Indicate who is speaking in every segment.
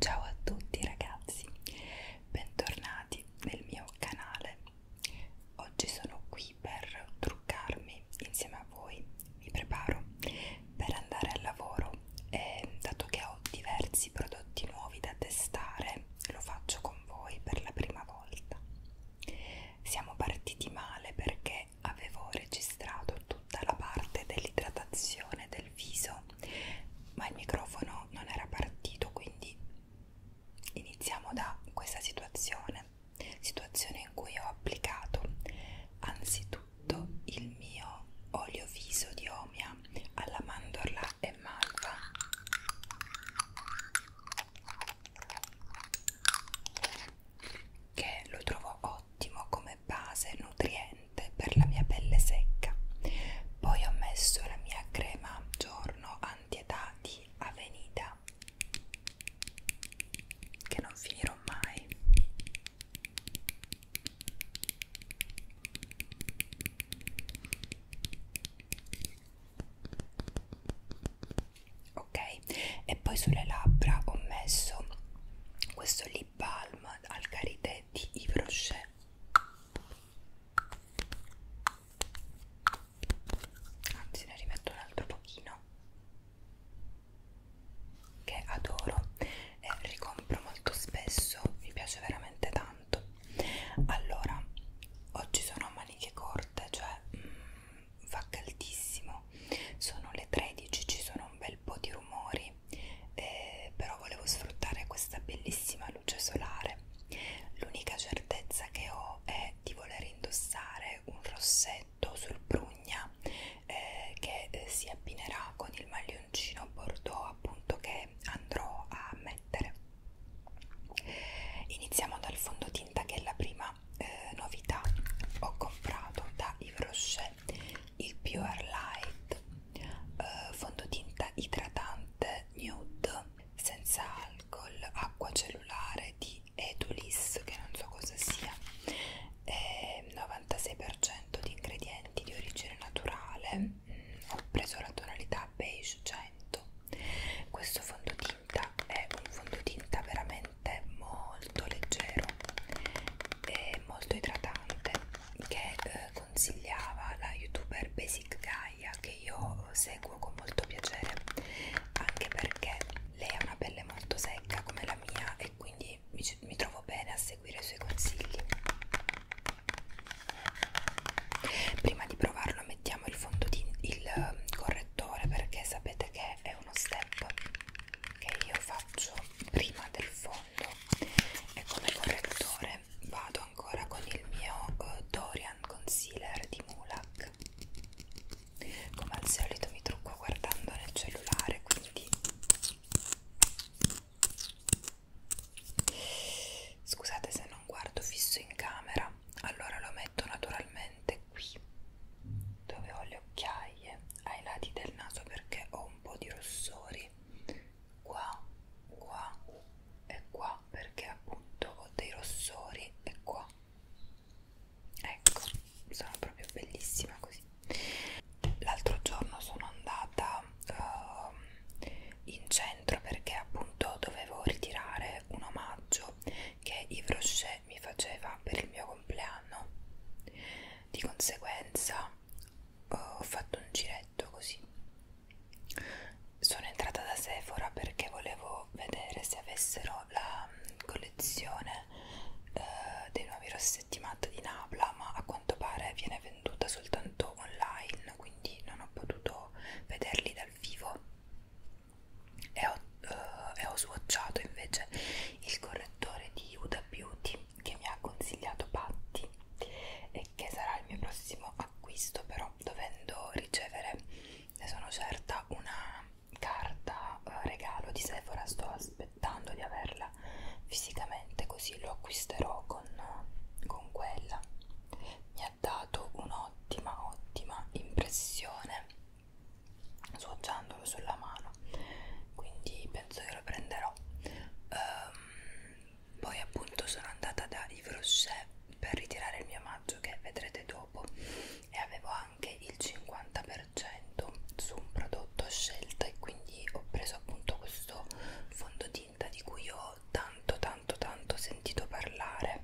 Speaker 1: Ciao a tutti ragazzi, bentornati nel mio canale. Oggi sono qui per truccarmi insieme a voi, mi preparo per andare al lavoro e dato che ho diversi prodotti nuovi da testare lo faccio con voi per la prima volta. Siamo partiti male perché avevo registrato tutta la parte dell'idratazione del viso, ma il microfono non era partito, quindi iniziamo da questa situazione, situazione in cui ho applicato anzitutto il mio olio viso di Omia vaniglia alla mandorla e malva che lo trovo ottimo come base nutriente per la mia pelle secca poi ho messo la mia crema giorno antietà di Avenida che non finirò mai ok e poi sulle labbra ho messo questo lip balm al karité di Yves Rocher anzi ne rimetto un altro pochino che adoro e ricompro molto spesso mi piace veramente tanto tanto allora oggi sono a maniche corte cioè mh, mm, fa caldissimo sono le 13 ci sono un bel po' di rumori eh, però volevo sfruttare questa bellissima luce solare l'unica certezza che ho è di voler indossare un rossetto sul prugna eh, che eh, si abbinerà con il maglione biancino bordeaux appunto che andrò a mettere iniziamo dal fondotinta che è la prima eh, novità ho comprato da Yves Rocher il Pure Light eh, fondotinta idratante nude senza alcol acqua cellulare di Edulis che non so cosa sia è 96% di ingredienti di origine naturale Mm, ho preso la tonalità beige 100 questo fondotinta è un fondotinta veramente molto leggero e molto idratante che eh, consigliava la youtuber Basic Gaia che io seguo con molto piacere anche perché lei ha una pelle molto secca come la mia e quindi mi, mi trovo bene a seguire i suoi consigli prima di provarlo mettiamo il fondo di il um, correttore perché sapete che è uno step che io faccio prima del fondo e come correttore vado ancora con il mio uh, Dorian Concealer di Mulak come al solito mi trucco guardando nel cellulare quindi Scusate se non guardo fisso in camera, allora lo metto naturalmente qui dove ho le occhiaie, ai lati del naso perché ho un po' di rossori, qua, qua e qua perché appunto ho dei rossori e qua. Ecco, sono proprio bellissima così. L'altro giorno sono andata uh, in centro perché appunto dovevo ritirare un omaggio che Yves Rocher mi faceva per il mio compleanno di conseguenza uh, ho fatto un giretto così sono entrata da Sephora perché volevo vedere se avessero la mm, collezione uh, dei nuovi rossetti matte di Napla ma a quanto pare viene venduta soltanto online quindi non ho potuto vederli dal vivo e ho, uh, e ho swatchato invece il correttore di Huda Beauty che mi ha consigliato Patti e che sarà il mio prossimo acquisto però dovendo ricevere ne sono certa una carta eh, regalo di Sephora sto aspettando di averla averla fisicamente così lo acquisterò con, con quella mi ha dato un'ottima ottima impressione sfoggiandolo sulla mano quindi penso che lo prenderò um, poi appunto sono andata da Yves Rocher per ritirare il mio maggio che vedrete dopo e avevo anche il 50% su un prodotto a scelta e quindi ho preso appunto questo fondo di tinta di cui ho tanto tanto tanto sentito parlare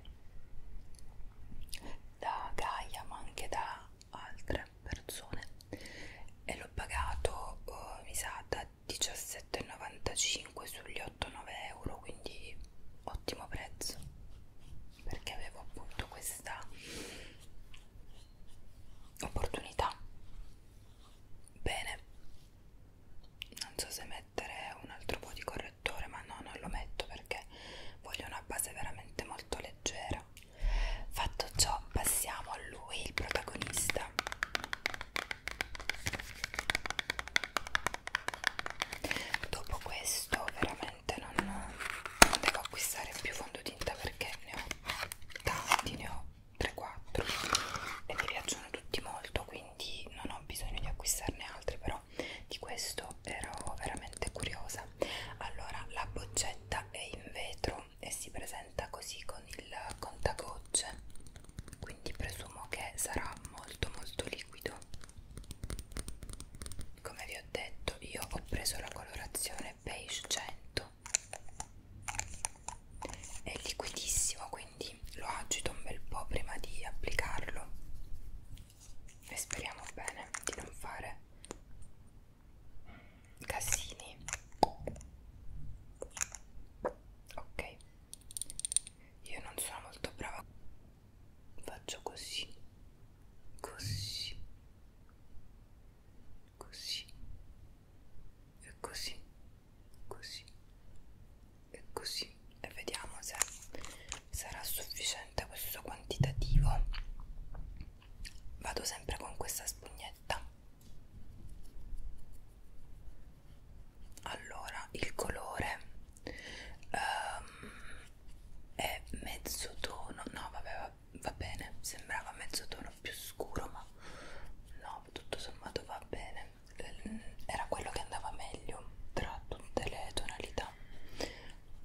Speaker 1: da Gaia ma anche da altre persone e l'ho pagato oh, mi sa da 17,95 sugli 8-9 euro quindi ottimo prezzo perché avevo appunto questa opportunità bene non so se mettere un altro po' di correttore ma no non lo metto perché voglio una base veramente molto leggera fatto ciò passiamo a lui il protagonista dopo questo veramente non, non devo acquistare più fondotinta perché ne ho tanti ne ho 3-4 e mi piacciono tutti molto quindi non ho bisogno di acquistarne altri però di questo ero veramente curiosa allora la boccetta è in vetro e si presenta così con il contagocce quindi presumo che sarà molto molto liquido come vi ho detto io ho preso la colorazione beige 100 tutto è liquidissimo quindi lo agito un bel po' prima di applicarlo e speriamo bene di non fare casini ok io non sono molto brava faccio così così così e così così e così e vediamo se sarà sufficiente questo quantitativo vado sempre con questa spugnetta allora il colore um, è mezzo tono no vabbè va, va bene sembrava mezzo tono più scuro ma no no, tutto sommato va bene, eh, era quello che andava meglio tra tutte le tonalità.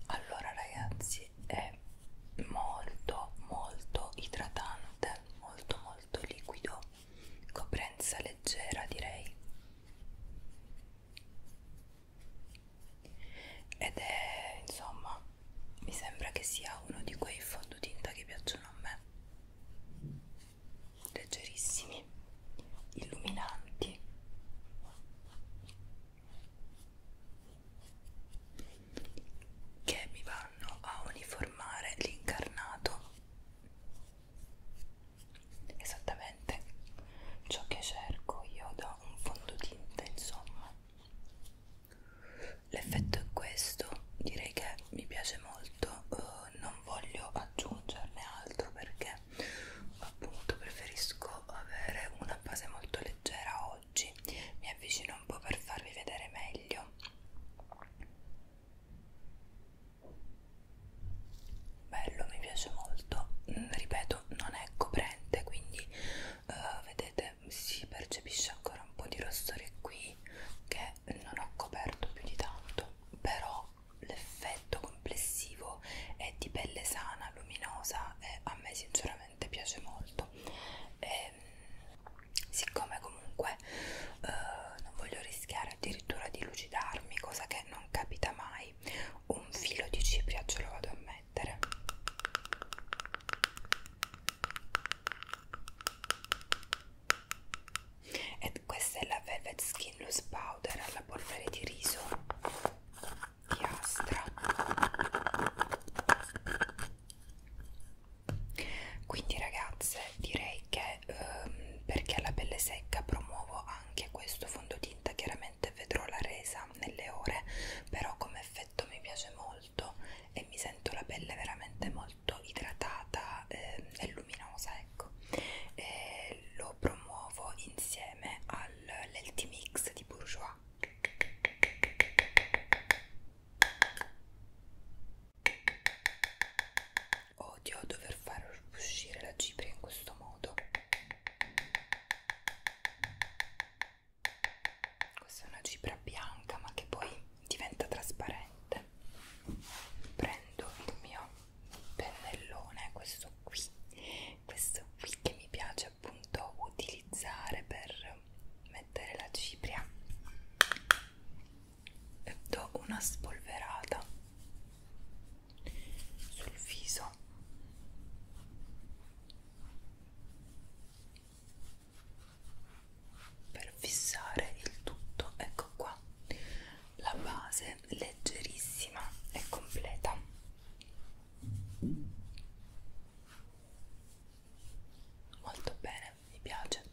Speaker 1: Allora ragazzi, è molto molto idratante, molto molto liquido, coprenza leggera direi. Ed è, insomma, mi sembra che sia uno di quei fondotinta che piacciono a me leggerissimi, illuminanti che mi vanno a uniformare l'incarnato esattamente ciò che cerco io da un fondotinta insomma l'effetto è questo direi che mi piace molto uh, non voglio aggiungerne altro perché appunto preferisco avere una base molto leggera oggi mi avvicino un po' per farvi vedere meglio bello mi piace molto mm, ripeto non è coprente quindi uh, vedete si percepisce ancora un po' di rossore qui che non ho coperto più di tanto però l'effetto complessivo è di pelle sana, luminosa e a me sinceramente piace molto e, ehm, siccome comunque eh, non voglio rischiare addirittura di lucidarmi cosa che non capita mai un filo di cipria ce lo vado a mettere e questa è la Velvet Skinless Powder alla polvere di riso di Astra quindi ragazze direi che ehm, perché la pelle secca promuovo anche questo fondotinta chiaramente vedrò la resa nelle ore però come effetto mi piace molto molto e mi sento la pelle veramente molto idratata eh, e luminosa ecco e lo promuovo insieme all'Elti Mix di Bourjois odio dover far uscire la cipria in questo modo questa è una cipria bianca ma che poi diventa trasparente prendo il mio pennellone questo qui questo qui che mi piace appunto utilizzare per mettere la cipria e do una spolverata sul viso per fissare il tutto ecco qua la base leggerissima e completa molto bene mi piace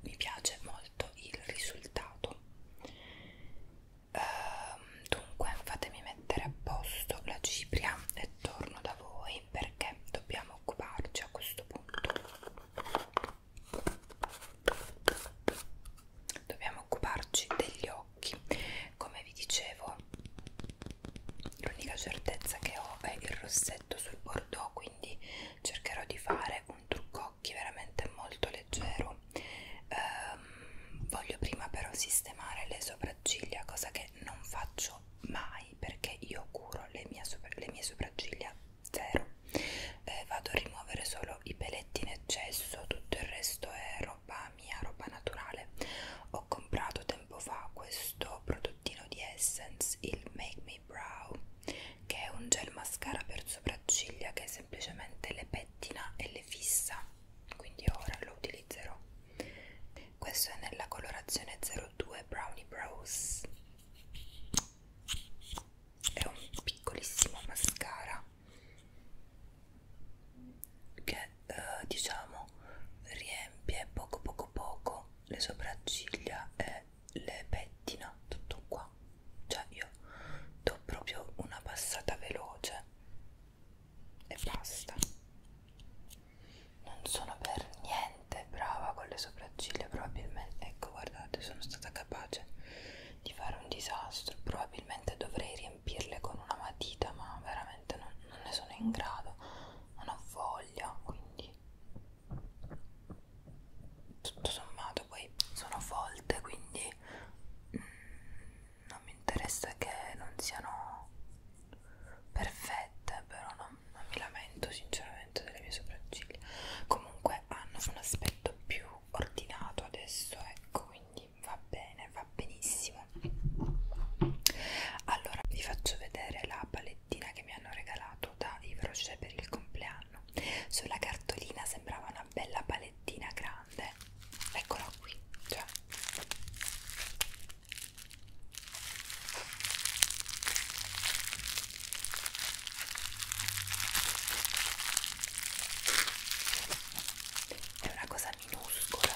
Speaker 1: mi piace molto il risultato ehm, dunque fatemi mettere a posto la cipria e torno da voi perché dobbiamo occuparci a questo punto dobbiamo occuparci degli occhi come vi dicevo l'unica certezza che ho è il rossetto sul bordeaux quindi cercherò di fare un trucco occhi veramente molto leggero ehm, voglio prima però sistemare le sopracciglia cosa che non faccio mai perché io curo le mie, sopra le mie sopracciglia zero eh, vado a rimuovere solo i peletti in eccesso tutto il resto è roba mia roba naturale ho comprato tempo fa questo prodottino di essence il make me brow che è un gel mascara per sopracciglia che semplicemente le pettina e le fissa quindi ora lo utilizzerò questo è nella colorazione 02 Brownie Brows è un piccolissimo mascara che eh, diciamo riempie poco poco poco le sopracciglia e le pettina tutto qua cioè io do proprio una passata veloce e basta non sono per niente brava con le sopracciglia probabilmente ecco guardate sono stata capace di fare un disastro probabilmente dovrei riempirle con una matita ma veramente non, non ne sono in grado non ho voglia quindi tutto sommato poi sono folte quindi mm, non mi interessa che non siano perfette però non non mi lamento sinceramente delle mie sopracciglia comunque hanno un aspetto più ordinato adesso ecco quindi va bene va benissimo allora vi faccio vedere la palettina che mi hanno regalato da Ivroce per il compleanno sulla cartolina sembrava una bella palettina grande eccola qui cioè è una cosa minuscola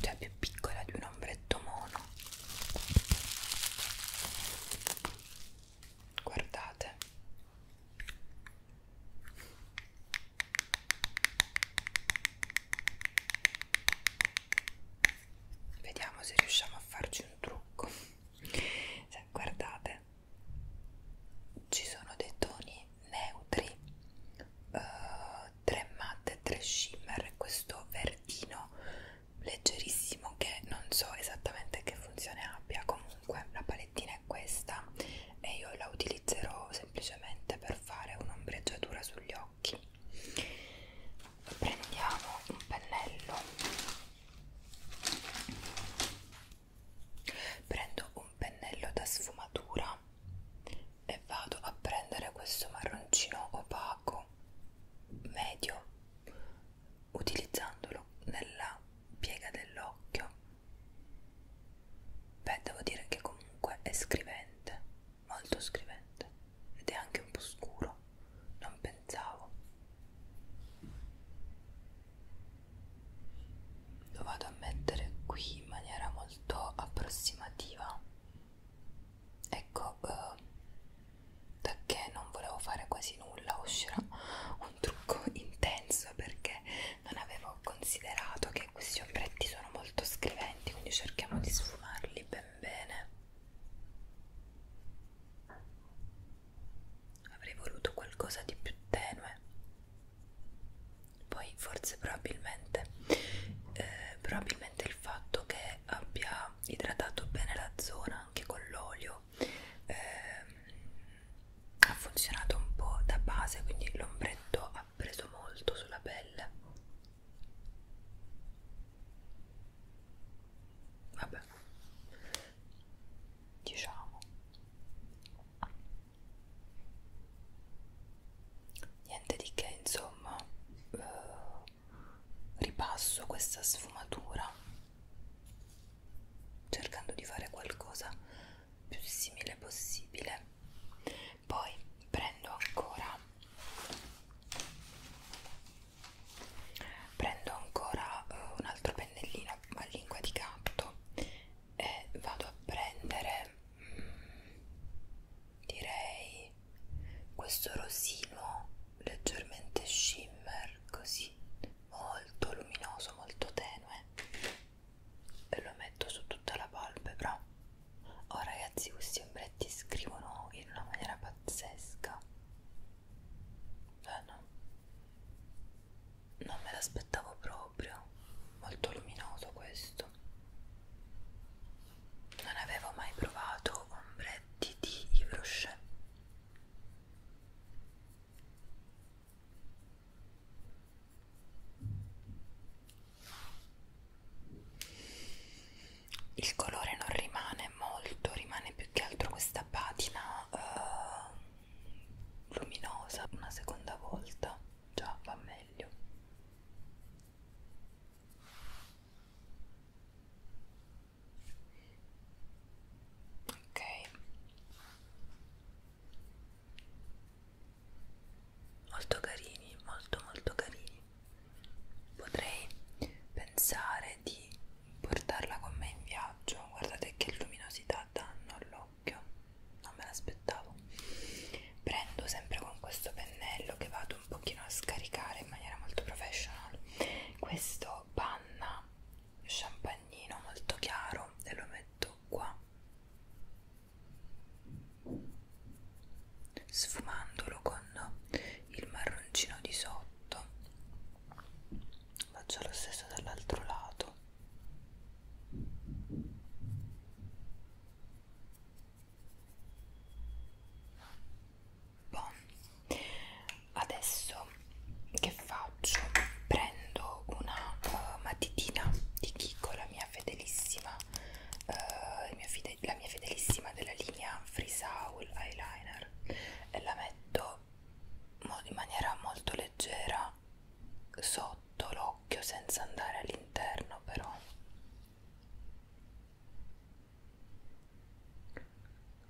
Speaker 1: cioè più piccola di un ombretto mono guardate Vediamo se riusciamo a farci un trucco. Se cioè, guardate, ci sono dei toni neutri, uh, tre matte, tre shimmer, questo verdino leggerissimo che non so esattamente che funzione abbia. Comunque, la palettina è questa e io la utilizzerò semplicemente per fare un'ombreggiatura sugli occhi occhi prendiamo un pennello prendo un pennello da sfumatura e vado a prendere questo marroncino opaco medio utilizzandolo nella piega dell'occhio beh devo dire che comunque è scrivente molto scrivente ed è anche un po' scuro, non pensavo. Lo vado a mettere qui in maniera molto approssimativa. Ecco, eh, da che non volevo fare quasi nulla uscirà un trucco intenso perché non avevo considerato che questi ombretti sono molto scriventi quindi cerchiamo di sfumarli ben bene avrei voluto qualcosa di più tenue poi forse probabilmente eh, probabilmente il fatto che abbia idratato bene la zona anche con l'olio eh, ha funzionato un po' da base quindi l'ombretto ha preso molto sulla pelle vabbè diciamo niente di che insomma eh, ripasso questa sfumatura cercando di fare qualcosa più simile possibile poi prendo ancora prendo ancora uh, eh, un altro pennellino a lingua di gatto e vado a prendere mm, direi questo rosino leggermente shimmer così molto luminoso molto tenue e lo metto su tutta la palpebra Oh ragazzi, questi ombretti scrivono in una maniera pazzesca. Eh, no. Non me l'aspettavo proprio. Molto luminoso questo. Non avevo mai provato ombretti di Yves Rocher. Il colore non rimane molto, rimane più che altro questa patina eh, luminosa. Una seconda volta già va meglio. Ok molto carini molto molto carini potrei pensare di portarla con me in viaggio guardate che luminosità danno all'occhio non me l'aspettavo prendo sempre con questo pennello che vado un pochino a scaricare in maniera molto professional questo panna champagnino molto chiaro e lo metto qua sfumandolo con il marroncino di sotto faccio lo stesso dall'altro lato Bon. Adesso che faccio? Prendo una uh, matitina di Kiko, la mia fedelissima eh, mio fide la mia fedelissima della linea Free Soul Eyeliner e la metto in maniera molto leggera sotto l'occhio senza andare all'interno però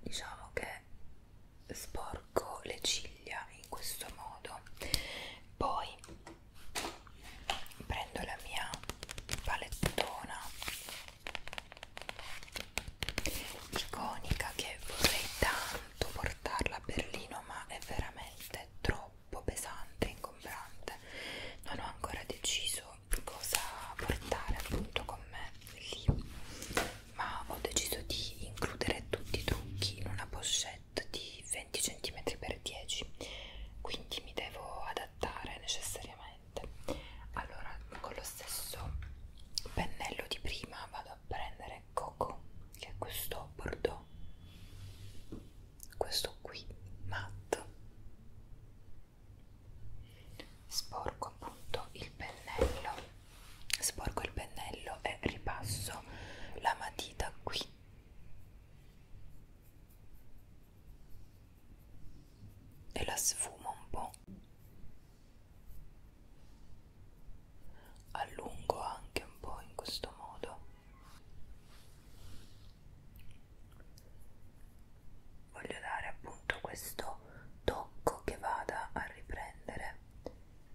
Speaker 1: diciamo che sporco le ciglia in questo modo poi prendo la mia palettona iconica che vorrei tanto portarla a Berlino ma è veramente troppo pesante e ingombrante non ho ancora deciso cosa portare appunto con me lì ma ho deciso di includere tutti i trucchi in una pochette piatto di 20 cm x 10 quindi mi devo adattare necessariamente allora con lo stesso pennello di prima vado a prendere Coco che è questo bordeaux questo qui matte sporco appunto il pennello sporco il pennello e ripasso la matita qui e la sfumo un po' allungo anche un po' in questo modo voglio dare appunto questo tocco che vada a riprendere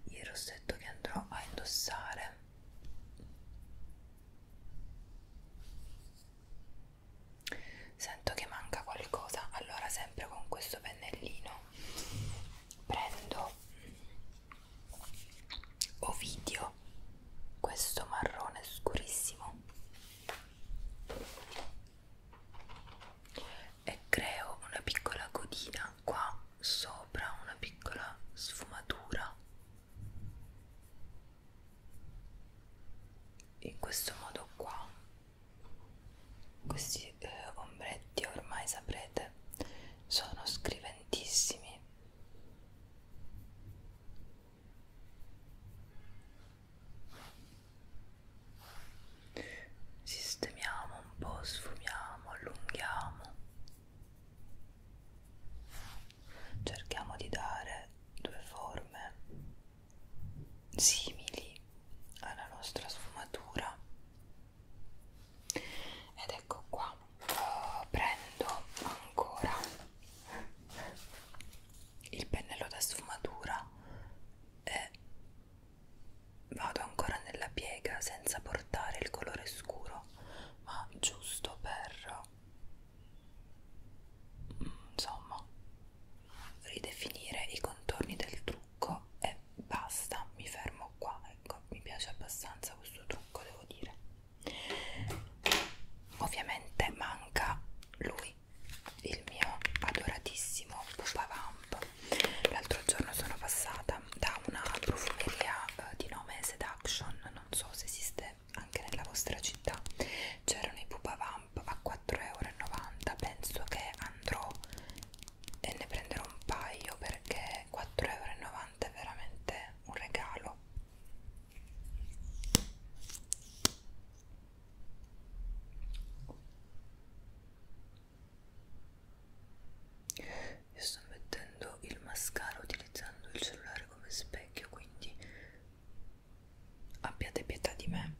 Speaker 1: il rossetto che andrò a indossare Sento che manca qualcosa, allora sempre con questo pennellino prendo Ovidio, questo marrone scurissimo e creo una piccola codina qua sopra, una piccola sfumatura in questo modo qua questi eh, ombretti ormai saprete sono scriventissimi sistemiamo un po' sfumiamo allunghiamo Cerchiamo di dare due forme simili alla nostra sfumatura ed ecco qua uh, prendo ancora il pennello da sfumatura e vado ancora nella piega senza portare il colore scuro ma giusto per insomma ridefinire i contorni del trucco e basta mi fermo qua ecco mi piace abbastanza questo trucco devo dire ovviamente manca lui il mio adoratissimo Pupa Vamp l'altro giorno sono passata da una profumeria eh, di nome Seduction non so se esiste anche nella vostra città c'erano i pupavamp a 4,90 euro penso che andrò e ne prenderò un paio perché 4,90 euro è veramente un regalo io sto mettendo il mascara utilizzando il cellulare come specchio quindi abbiate pietà di me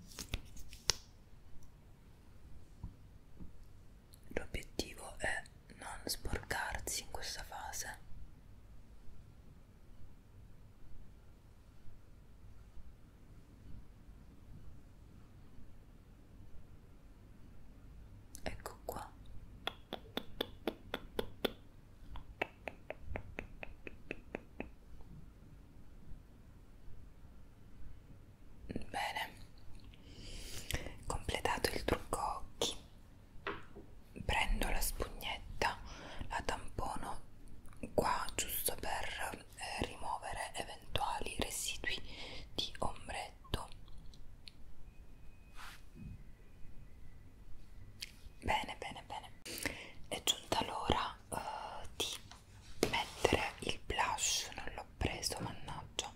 Speaker 1: l'obiettivo è non sporcarsi in questa fase ecco qua bene completato il trucco occhi prendo la spugnetta la tampono qua giusto per eh, rimuovere eventuali residui di ombretto Bene, bene, bene. È giunta l'ora uh, di mettere il blush. Non l'ho preso, mannaggia.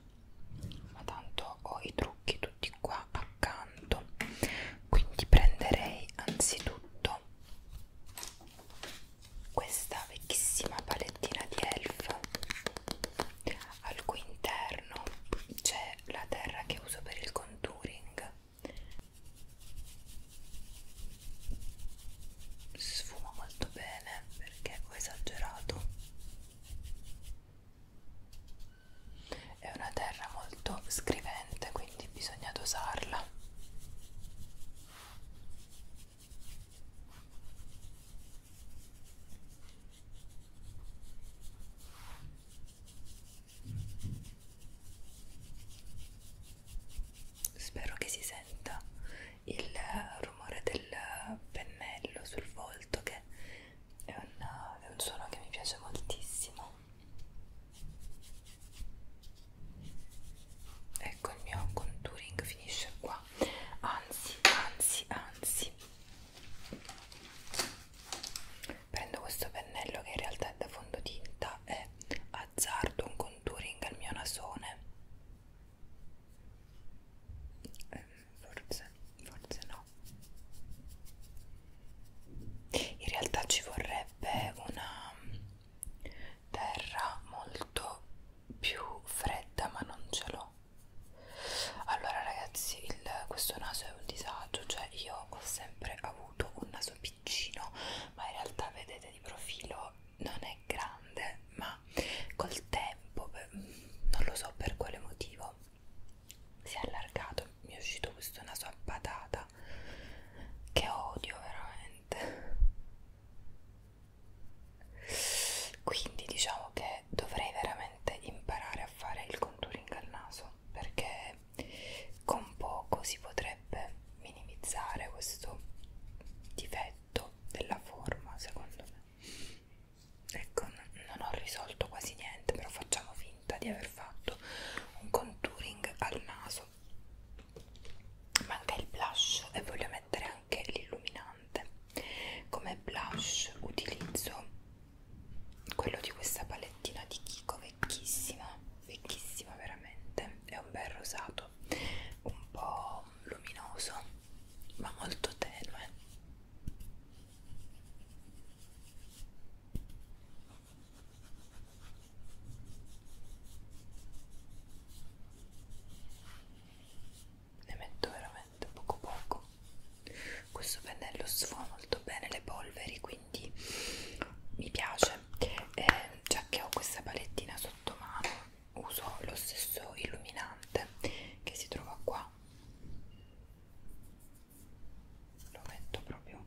Speaker 1: Ma tanto ho i trucchi tutti qua accanto. Quindi prenderei anzitutto questa vecchissima palettina di elf al cui interno c'è la terra che uso per il contouring sfumo molto bene perché ho esagerato è una terra molto scrivente quindi bisogna dosarla Spero che si senta il rumore del pennello sul volto che è un, è un suono che mi piace moltissimo. Ecco il mio contouring finisce qua. Anzi, anzi, anzi, prendo questo pennello che in realtà è da fondotinta e azzardo un contouring al mio nasone eh, forse, forse no in realtà ci vorrebbe una terra molto più fredda ma non ce l'ho allora ragazzi il, questo naso è un disagio cioè io ho sempre avuto un naso piccino ma in realtà vedete di profilo non è grande ma col tempo per, non lo so per quale motivo si è allargato mi è uscito questo naso a patata che odio veramente quindi diciamo che dovrei veramente sicuramente imparare a fare il contouring al naso perché con poco si potrebbe minimizzare questo difetto della forma secondo me ecco non ho risolto quasi niente però facciamo finta di aver fatto un contouring al naso manca il blush e voglio mettere anche l'illuminante come blush utilizzo quello di questa palettina di Kiko vecchissima vecchissima veramente è un bel rosato un po' luminoso ma molto tenue ne metto veramente pennello poco poco questo pennello sfuma molto bene le polveri quindi mi piace e eh, già che ho questa palettina sotto mano uso lo stesso illuminante che si trova qua lo metto proprio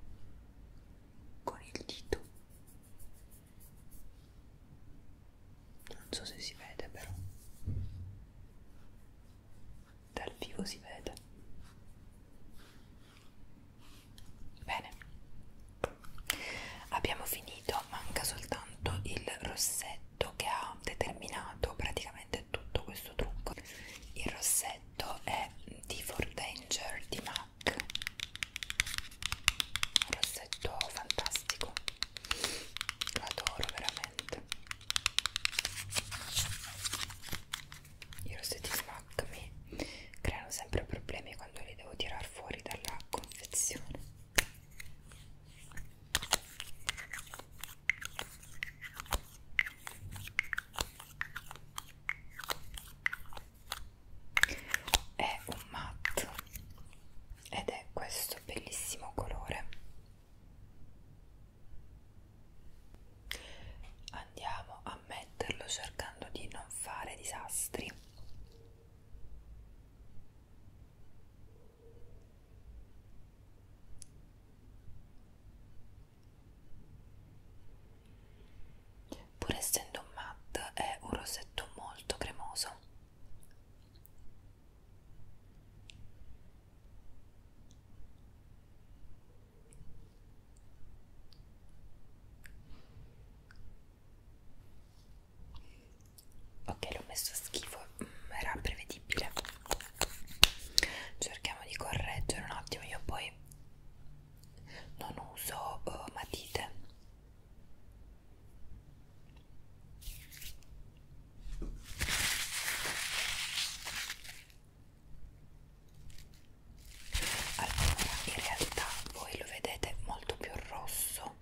Speaker 1: con il dito non so se si vede però dal vivo si vede bene abbiamo finito manca soltanto il rossetto che ha determinato praticamente tutto questo trucco il rossetto è di For Danger di MAC un rossetto fantastico lo adoro veramente i rossetti smack mi creano sempre problemi quando li devo tirar fuori dalla confezione è un matte ed è questo bellissimo colore Andiamo a metterlo cercando di non fare disastri. Pur essendo un matte è un rossetto molto cremoso ok l'ho messo a schifo mm, era prevedibile cerchiamo di correggere un attimo io poi non uso uh, matite allora, in realtà voi lo vedete molto più rosso,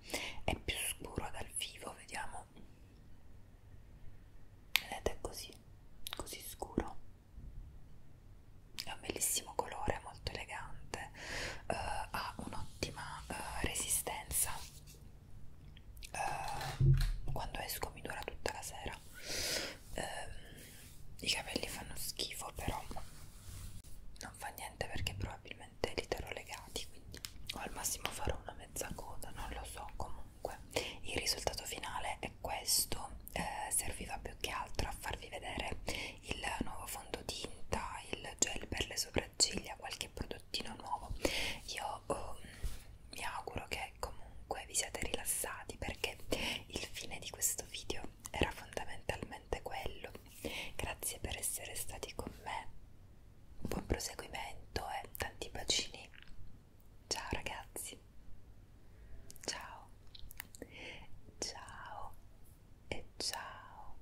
Speaker 1: è più scuro dal vivo, vediamo. Vedete così, così scuro. È un bellissimo colore, molto elegante, uh, ha un'ottima uh, resistenza uh, quando esco mi dura tutta la sera uh, i capelli fanno schifo però non fa niente perché probabilmente li terrò legati quindi o al massimo farò una mezza coda non lo so comunque il risultato finale è questo eh, serviva più che altro a farvi vedere il nuovo fondotinta il gel per le sopracciglia sopracciglia, qualche prodottino nuovo. Io um, mi auguro che comunque vi siate rilassati perché il fine di questo video era fondamentalmente quello. Grazie per essere stati con me. Buon proseguimento e tanti bacini. Ciao ragazzi. Ciao. Ciao e ciao.